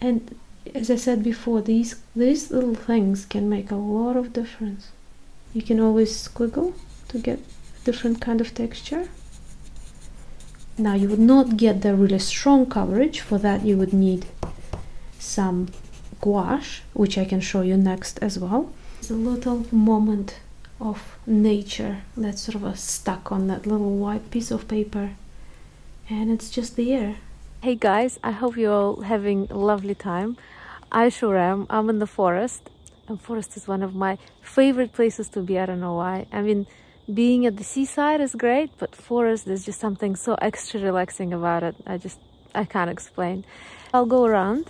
and as I said before these these little things can make a lot of difference you can always squiggle to get a different kind of texture now you would not get the really strong coverage for that you would need some gouache which I can show you next as well it's a little moment of nature that's sort of stuck on that little white piece of paper and it's just there hey guys i hope you're all having a lovely time i sure am i'm in the forest and forest is one of my favorite places to be i don't know why i mean being at the seaside is great but forest is just something so extra relaxing about it i just i can't explain i'll go around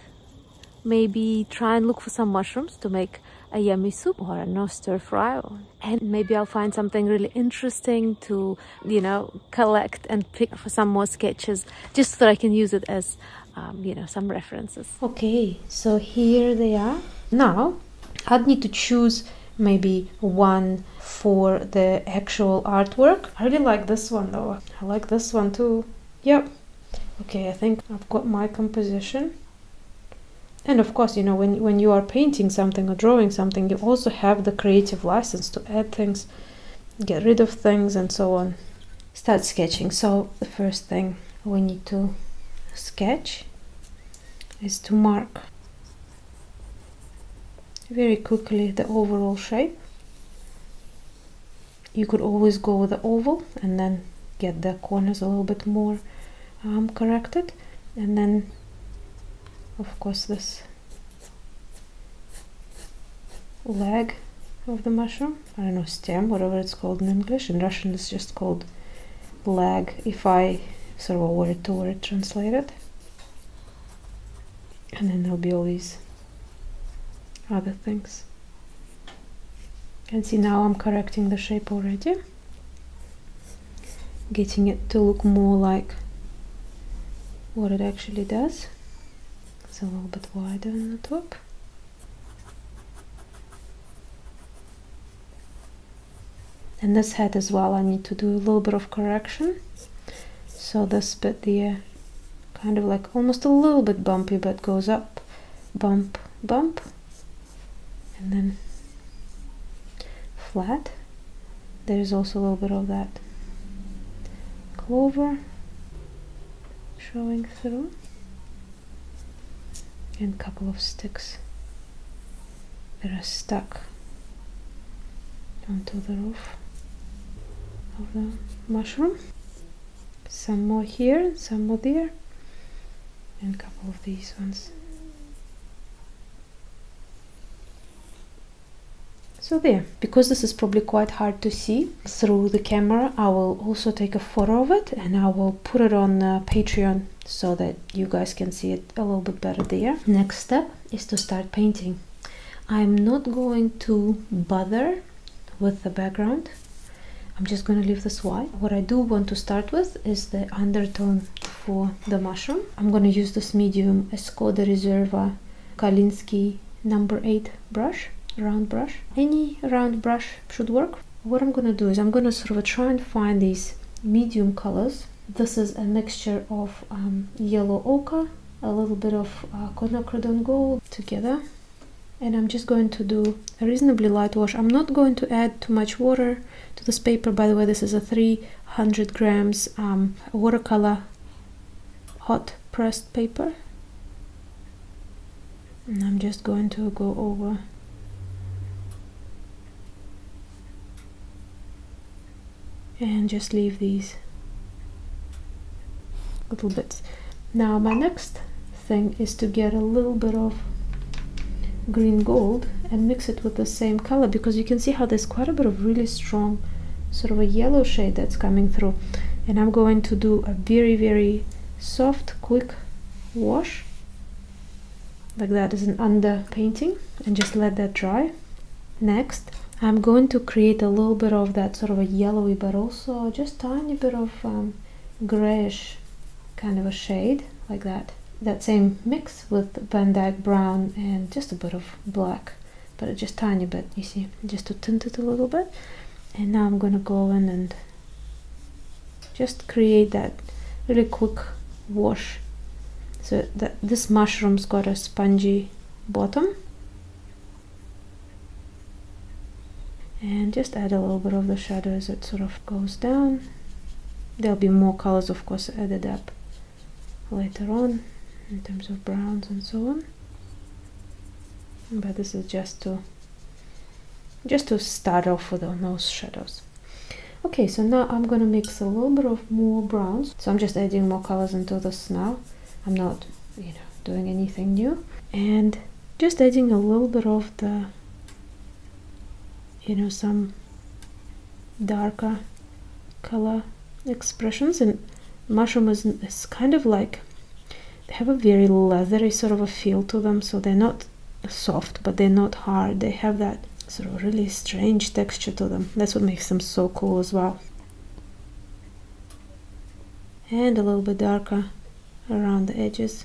maybe try and look for some mushrooms to make a yummy soup or a no stir fry and maybe I'll find something really interesting to you know collect and pick for some more sketches just so that I can use it as um, you know some references okay so here they are now I'd need to choose maybe one for the actual artwork I really like this one though I like this one too yep okay I think I've got my composition and of course you know when, when you are painting something or drawing something you also have the creative license to add things get rid of things and so on start sketching so the first thing we need to sketch is to mark very quickly the overall shape you could always go with the oval and then get the corners a little bit more I'm um, corrected and then of course this leg of the mushroom I don't know stem whatever it's called in English in Russian it's just called leg if I sort of word to word translate it and then there'll be all these other things Can see now I'm correcting the shape already getting it to look more like what it actually does it's a little bit wider on the top and this head as well I need to do a little bit of correction so this bit here, kind of like almost a little bit bumpy but goes up bump bump and then flat there's also a little bit of that clover showing through and a couple of sticks that are stuck onto the roof of the mushroom some more here some more there and a couple of these ones. So there, because this is probably quite hard to see through the camera, I will also take a photo of it and I will put it on uh, Patreon so that you guys can see it a little bit better there. Next step is to start painting. I'm not going to bother with the background I'm just going to leave this white. What I do want to start with is the undertone for the mushroom. I'm going to use this medium Escoda Reserva Kalinsky number 8 brush, round brush. Any round brush should work. What I'm going to do is I'm going to sort of try and find these medium colors. This is a mixture of um, yellow ochre, a little bit of uh, quinacridone gold together and I'm just going to do a reasonably light wash. I'm not going to add too much water to this paper. By the way, this is a 300 grams um, watercolor hot pressed paper. And I'm just going to go over and just leave these little bits. Now my next thing is to get a little bit of green gold and mix it with the same color because you can see how there's quite a bit of really strong sort of a yellow shade that's coming through and I'm going to do a very very soft quick wash like that as an under painting and just let that dry next I'm going to create a little bit of that sort of a yellowy but also just tiny bit of um, grayish kind of a shade like that that same mix with Van Dyke brown and just a bit of black but just tiny bit you see just to tint it a little bit and now I'm gonna go in and just create that really quick wash so that this mushroom's got a spongy bottom and just add a little bit of the shadow as it sort of goes down there'll be more colors of course added up later on in terms of browns and so on but this is just to just to start off with the nose shadows okay so now I'm gonna mix a little bit of more browns so I'm just adding more colors into this now I'm not you know doing anything new and just adding a little bit of the you know some darker color expressions and mushroom is, kind of like they have a very leathery sort of a feel to them so they're not soft but they're not hard they have that sort of really strange texture to them that's what makes them so cool as well and a little bit darker around the edges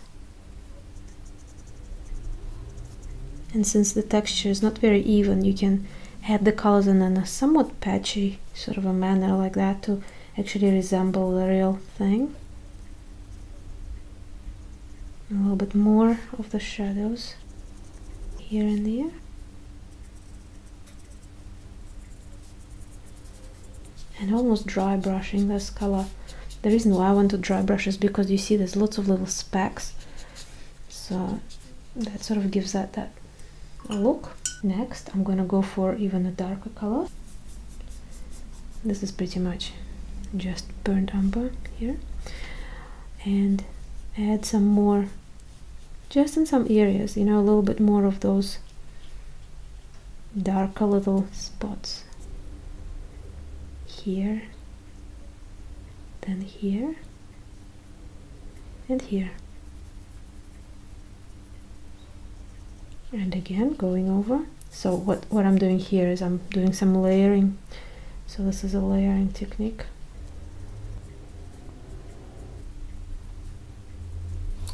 and since the texture is not very even, you can add the colors in a somewhat patchy sort of a manner like that to actually resemble the real thing. A little bit more of the shadows here and there and almost dry brushing this color the reason why I want to dry brush is because you see there's lots of little specks so that sort of gives that that look next I'm gonna go for even a darker color this is pretty much just burnt umber here and add some more just in some areas you know a little bit more of those darker little spots here then here and here and again going over so what what I'm doing here is I'm doing some layering so this is a layering technique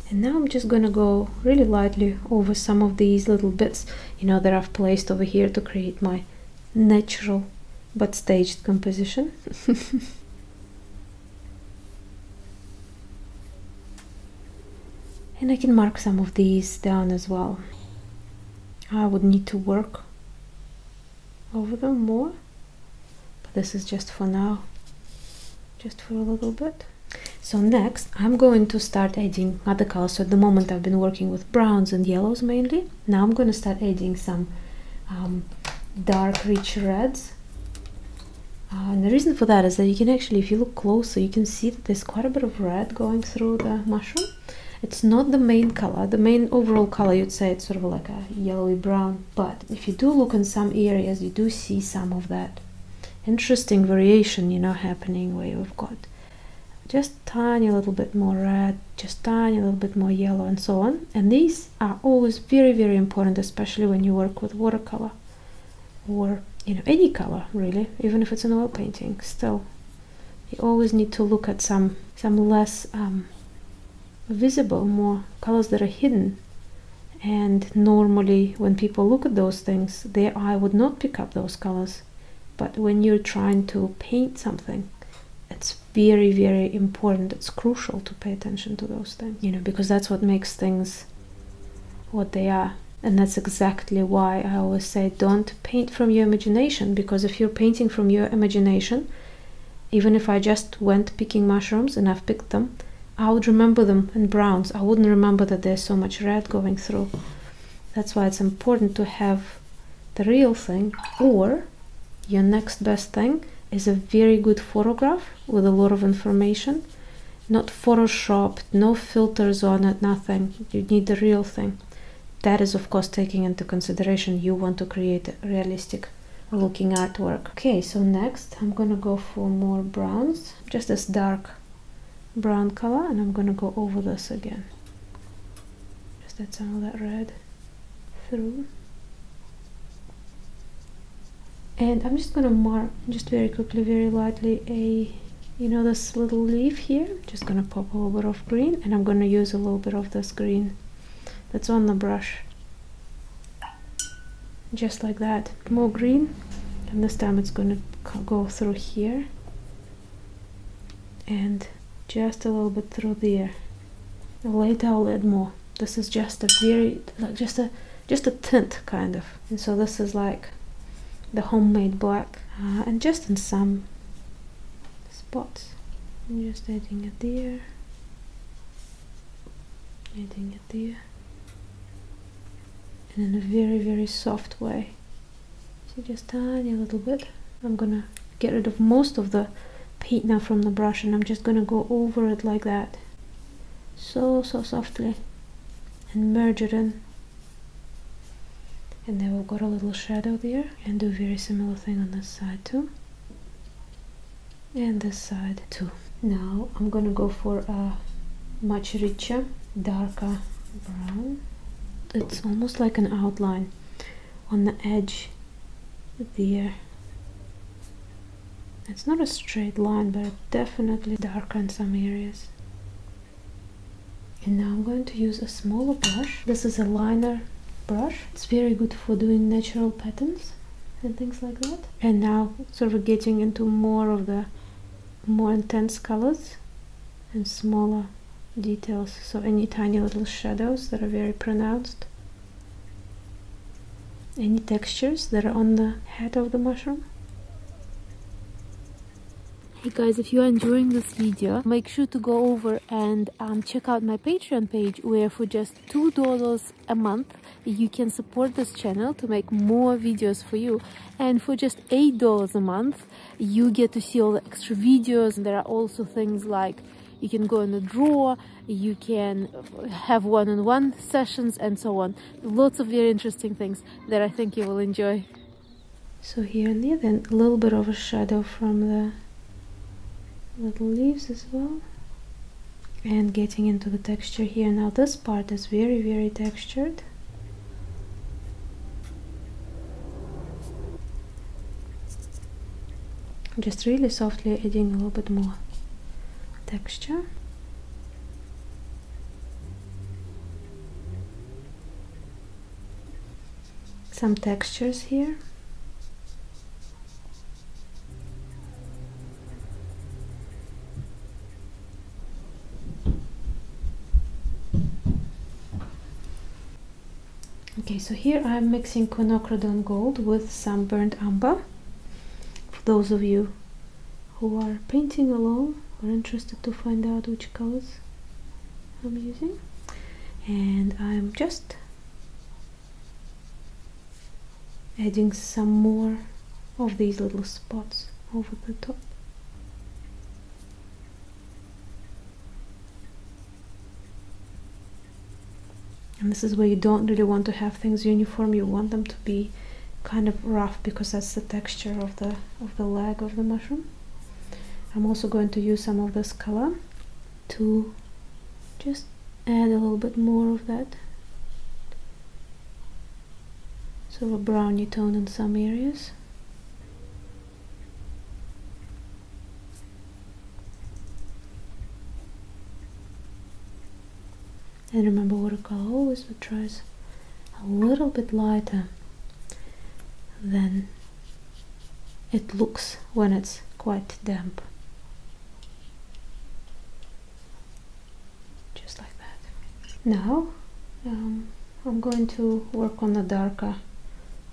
and now I'm just gonna go really lightly over some of these little bits, you know, that I've placed over here to create my natural but staged composition. and I can mark some of these down as well. I would need to work over them more, but this is just for now, just for a little bit. So next I'm going to start adding other colors. So at the moment I've been working with browns and yellows mainly. Now I'm going to start adding some um, dark rich reds. Uh, and the reason for that is that you can actually, if you look closer, you can see that there's quite a bit of red going through the mushroom. It's not the main color. The main overall color, you'd say it's sort of like a yellowy brown. But if you do look in some areas, you do see some of that interesting variation, you know, happening where you have got just tiny a little bit more red, just tiny a little bit more yellow and so on. And these are always very, very important, especially when you work with watercolor or, you know, any color really, even if it's an oil painting still. You always need to look at some, some less um, visible, more colors that are hidden and normally when people look at those things their eye would not pick up those colors but when you're trying to paint something it's very very important it's crucial to pay attention to those things you know because that's what makes things what they are and that's exactly why i always say don't paint from your imagination because if you're painting from your imagination even if i just went picking mushrooms and i've picked them I would remember them in browns. I wouldn't remember that there's so much red going through. That's why it's important to have the real thing or your next best thing is a very good photograph with a lot of information. Not photoshopped, no filters on it, nothing. You need the real thing. That is of course taking into consideration you want to create realistic looking artwork. Okay, so next I'm gonna go for more browns, just as dark brown color and I'm gonna go over this again just add some of that red through and I'm just gonna mark just very quickly very lightly a you know this little leaf here just gonna pop a little bit of green and I'm gonna use a little bit of this green that's on the brush just like that more green and this time it's going to go through here and just a little bit through there later I'll add more this is just a very just a just a tint kind of and so this is like the homemade black uh, and just in some spots I'm just adding it there adding there and in a very very soft way so just tiny little bit I'm gonna get rid of most of the paint now from the brush and I'm just gonna go over it like that so so softly and merge it in and then we've got a little shadow there and do a very similar thing on this side too and this side too now I'm gonna go for a much richer darker brown it's almost like an outline on the edge there it's not a straight line but it definitely darkens some areas and now I'm going to use a smaller brush this is a liner brush it's very good for doing natural patterns and things like that and now sort of getting into more of the more intense colors and smaller details so any tiny little shadows that are very pronounced any textures that are on the head of the mushroom Hey guys, if you are enjoying this video, make sure to go over and um, check out my Patreon page where for just $2 a month you can support this channel to make more videos for you and for just eight dollars a month you get to see all the extra videos and there are also things like you can go in the drawer, you can have one-on-one -on -one sessions and so on. Lots of very interesting things that I think you will enjoy. So here and there, then a little bit of a shadow from the little leaves as well. And getting into the texture here. Now this part is very, very textured just really softly adding a little bit more texture some textures here Okay, so here I'm mixing quinacridone gold with some burnt umber. For those of you who are painting along or interested to find out which colors I'm using. And I'm just adding some more of these little spots over the top. And this is where you don't really want to have things uniform, you want them to be kind of rough because that's the texture of the, of the leg of the mushroom. I'm also going to use some of this color to just add a little bit more of that so a browny tone in some areas. And remember watercolor always looks a little bit lighter than it looks when it's quite damp just like that. Now um, I'm going to work on the darker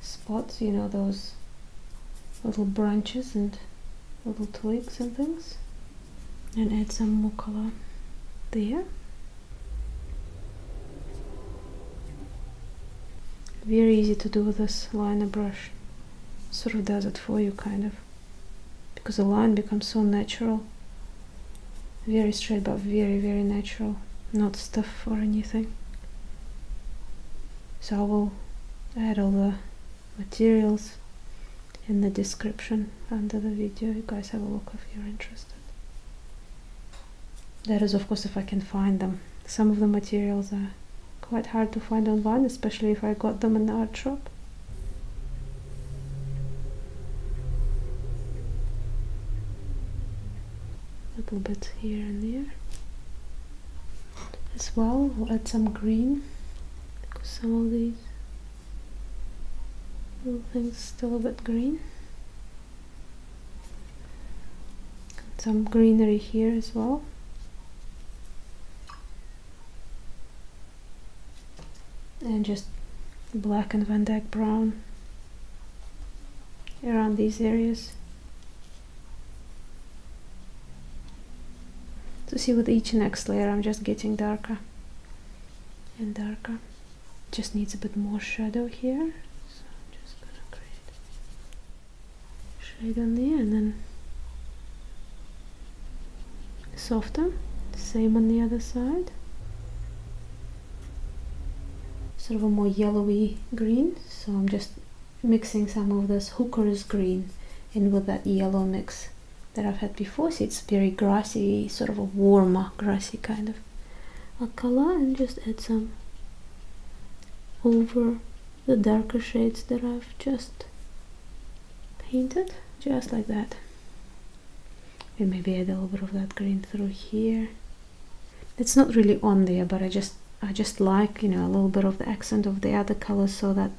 spots, you know, those little branches and little twigs and things and add some more color there. Very easy to do with this liner brush, sort of does it for you kind of because the line becomes so natural very straight but very very natural not stuff or anything so I will add all the materials in the description under the video you guys have a look if you're interested that is of course if I can find them some of the materials are quite hard to find online especially if I got them in the art shop a little bit here and there as well we'll add some green because some of these little things still a bit green some greenery here as well and just black and Van Dyke brown around these areas to see with each next layer I'm just getting darker and darker just needs a bit more shadow here so I'm just gonna create shade on there and then softer same on the other side sort of a more yellowy green so I'm just mixing some of this hooker's green in with that yellow mix that I've had before so it's very grassy sort of a warmer grassy kind of a color and just add some over the darker shades that I've just painted just like that and maybe add a little bit of that green through here it's not really on there but I just I just like you know a little bit of the accent of the other colors so that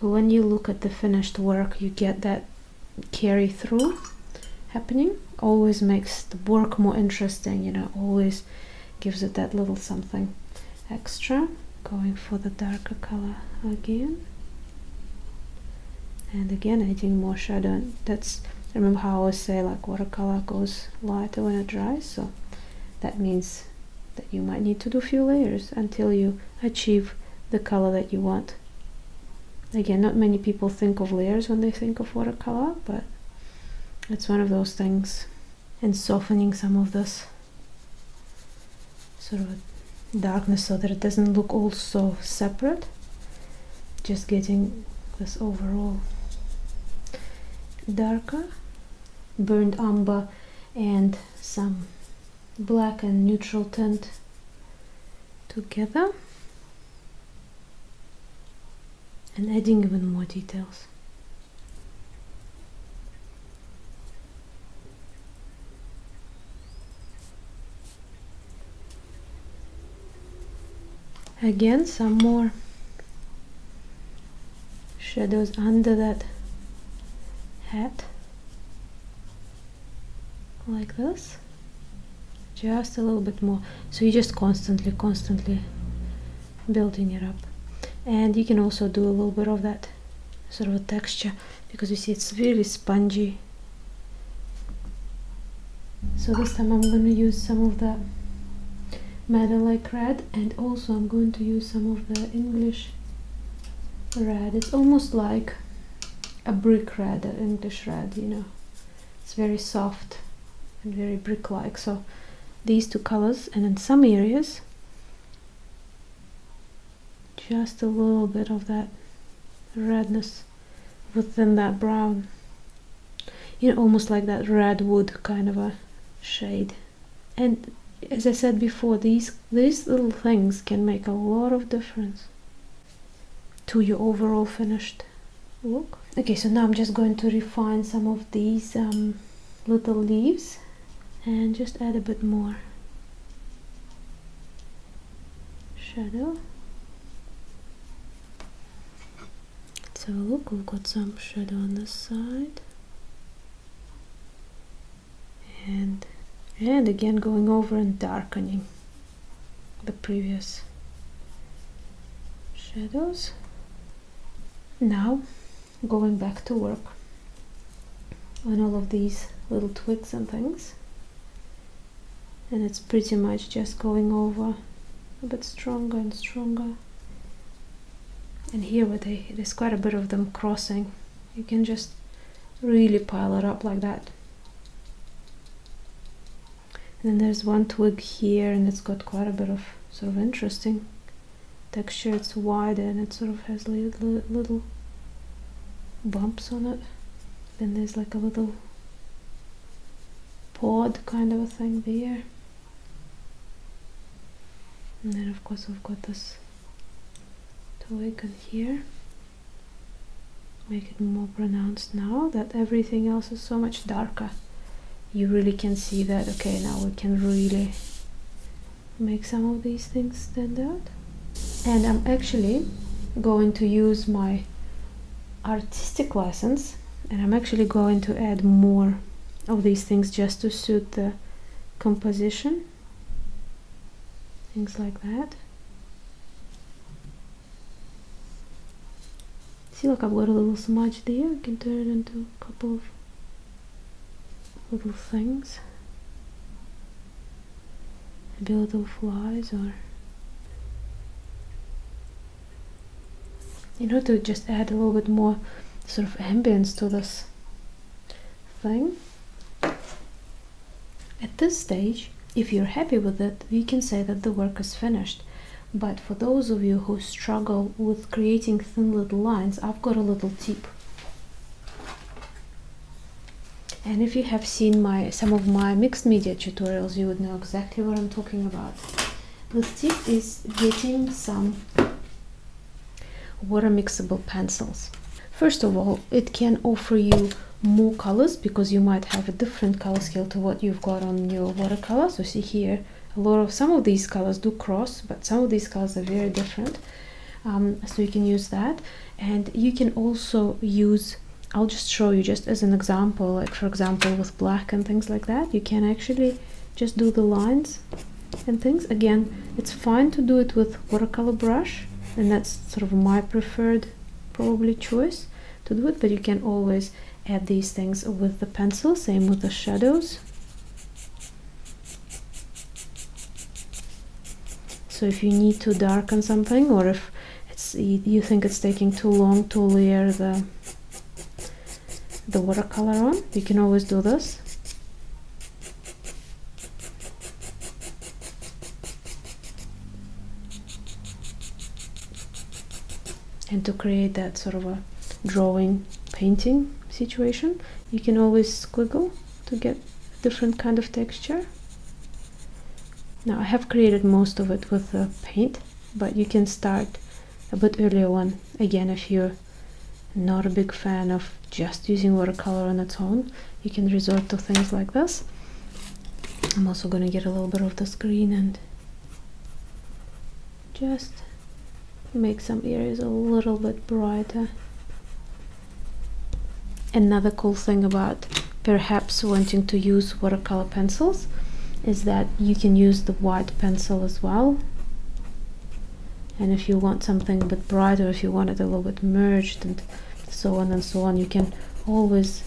when you look at the finished work you get that carry through happening always makes the work more interesting you know always gives it that little something extra going for the darker color again and again adding more shadow that's remember how I always say like watercolor goes lighter when it dries so that means that you might need to do a few layers until you achieve the color that you want again not many people think of layers when they think of watercolor but it's one of those things and softening some of this sort of darkness so that it doesn't look all so separate just getting this overall darker burnt umber and some black and neutral tint together and adding even more details again some more shadows under that hat like this just a little bit more so you just constantly constantly building it up and you can also do a little bit of that sort of texture because you see it's really spongy so this time I'm going to use some of the madder-like red and also I'm going to use some of the English red it's almost like a brick red an English red you know it's very soft and very brick like so these two colors and in some areas just a little bit of that redness within that brown you know almost like that redwood kind of a shade and as I said before these these little things can make a lot of difference to your overall finished look okay so now I'm just going to refine some of these um, little leaves and just add a bit more shadow let's have a look we've got some shadow on the side and and again going over and darkening the previous shadows now going back to work on all of these little twigs and things and it's pretty much just going over a bit stronger and stronger and here where there's quite a bit of them crossing you can just really pile it up like that and then there's one twig here and it's got quite a bit of sort of interesting texture it's wider and it sort of has little, little bumps on it then there's like a little pod kind of a thing there and then of course we've got this twig in here make it more pronounced now that everything else is so much darker you really can see that okay now we can really make some of these things stand out and I'm actually going to use my artistic license and I'm actually going to add more of these things just to suit the composition things like that see look I've got a little smudge there I can turn it into a couple of little things maybe little flies or you know to just add a little bit more sort of ambience to this thing at this stage if you're happy with it we can say that the work is finished but for those of you who struggle with creating thin little lines I've got a little tip and if you have seen my some of my mixed media tutorials you would know exactly what I'm talking about the tip is getting some water mixable pencils first of all it can offer you more colors because you might have a different color scale to what you've got on your watercolor so see here a lot of some of these colors do cross but some of these colors are very different um, so you can use that and you can also use I'll just show you just as an example like for example with black and things like that you can actually just do the lines and things again it's fine to do it with watercolor brush and that's sort of my preferred probably choice to do it but you can always add these things with the pencil same with the shadows so if you need to darken something or if you think it's taking too long to layer the the watercolor on, you can always do this. And to create that sort of a drawing painting situation, you can always squiggle to get a different kind of texture. Now I have created most of it with uh, paint, but you can start a bit earlier on. Again, if you're not a big fan of just using watercolor on its own, you can resort to things like this. I'm also going to get a little bit of the screen and just make some areas a little bit brighter another cool thing about perhaps wanting to use watercolor pencils is that you can use the white pencil as well and if you want something a bit brighter if you want it a little bit merged and so on and so on you can always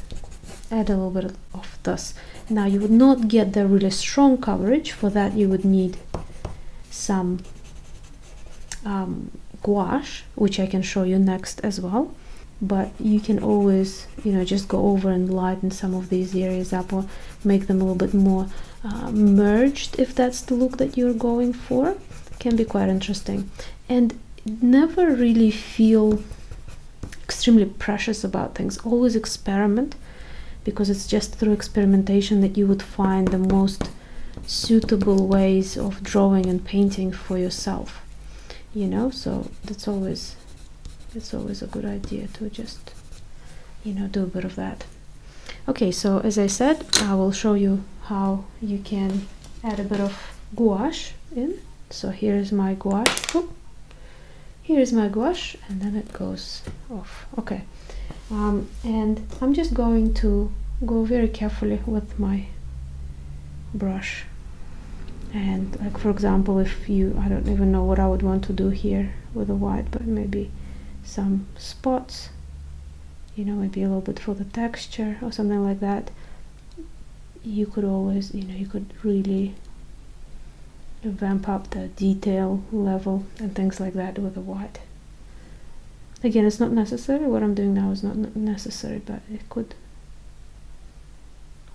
add a little bit of this now you would not get the really strong coverage for that you would need some um, gouache which I can show you next as well but you can always you know just go over and lighten some of these areas up or make them a little bit more uh, merged if that's the look that you're going for can be quite interesting and never really feel extremely precious about things always experiment because it's just through experimentation that you would find the most suitable ways of drawing and painting for yourself you know so that's always it's always a good idea to just you know do a bit of that okay so as I said I will show you how you can add a bit of gouache in so here's my gouache here's my gouache and then it goes off okay um, and I'm just going to go very carefully with my brush and like for example if you I don't even know what I would want to do here with the white but maybe some spots you know maybe a little bit for the texture or something like that you could always you know you could really vamp up the detail level and things like that with the white Again, it's not necessary. What I'm doing now is not necessary, but it could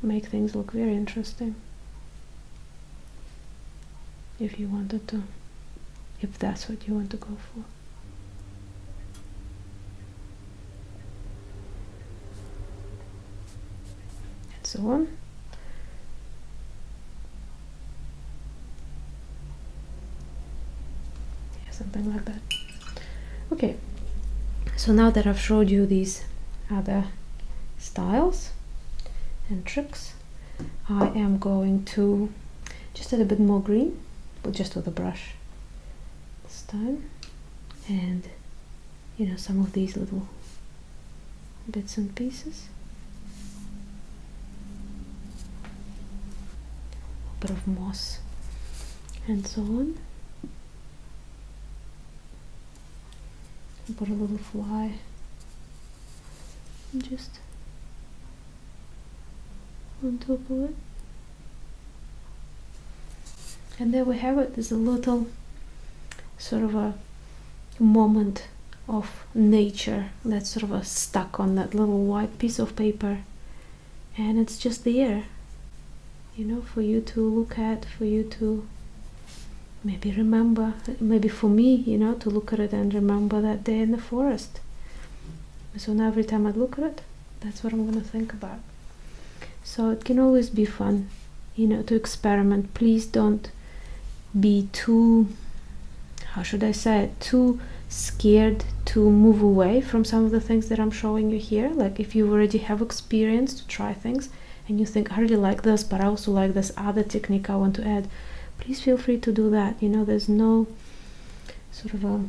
make things look very interesting if you wanted to, if that's what you want to go for. And so on yeah, something like that okay so now that I've showed you these other styles and tricks I am going to just add a bit more green but just with a brush this time and you know some of these little bits and pieces a bit of moss and so on put a little fly just on top of it and there we have it there's a little sort of a moment of nature that's sort of stuck on that little white piece of paper and it's just there you know for you to look at for you to maybe remember maybe for me you know to look at it and remember that day in the forest so now every time i look at it that's what i'm going to think about so it can always be fun you know to experiment please don't be too how should I say it too scared to move away from some of the things that I'm showing you here like if you already have experience to try things and you think I really like this but I also like this other technique I want to add please feel free to do that you know there's no sort of a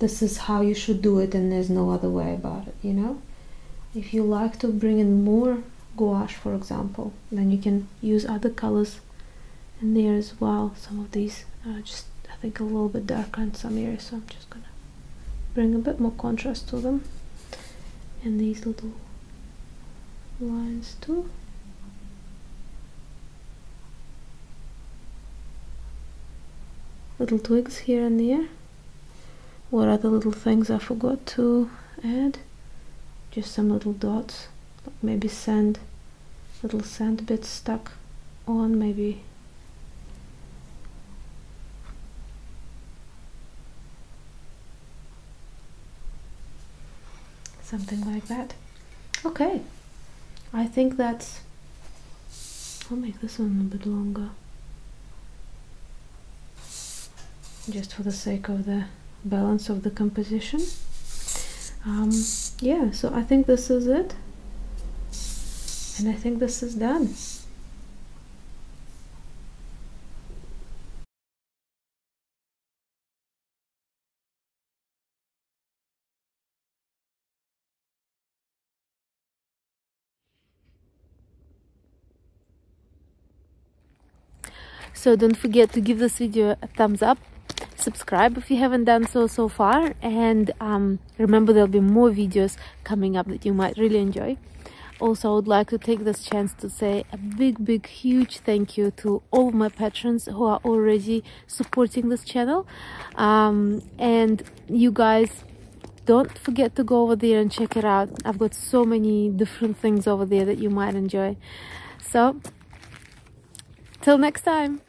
this is how you should do it and there's no other way about it you know if you like to bring in more gouache for example then you can use other colors in there as well some of these are just I think a little bit darker in some areas so I'm just gonna bring a bit more contrast to them and these little lines too little twigs here and there what other little things I forgot to add just some little dots maybe sand little sand bits stuck on maybe something like that okay I think that's I'll make this one a bit longer just for the sake of the balance of the composition um, yeah so I think this is it and I think this is done so don't forget to give this video a thumbs up, subscribe if you haven't done so so far, and um, remember there'll be more videos coming up that you might really enjoy. Also, I would like to take this chance to say a big, big, huge thank you to all my patrons who are already supporting this channel. Um, and you guys don't forget to go over there and check it out i've got so many different things over there that you might enjoy so, till next time.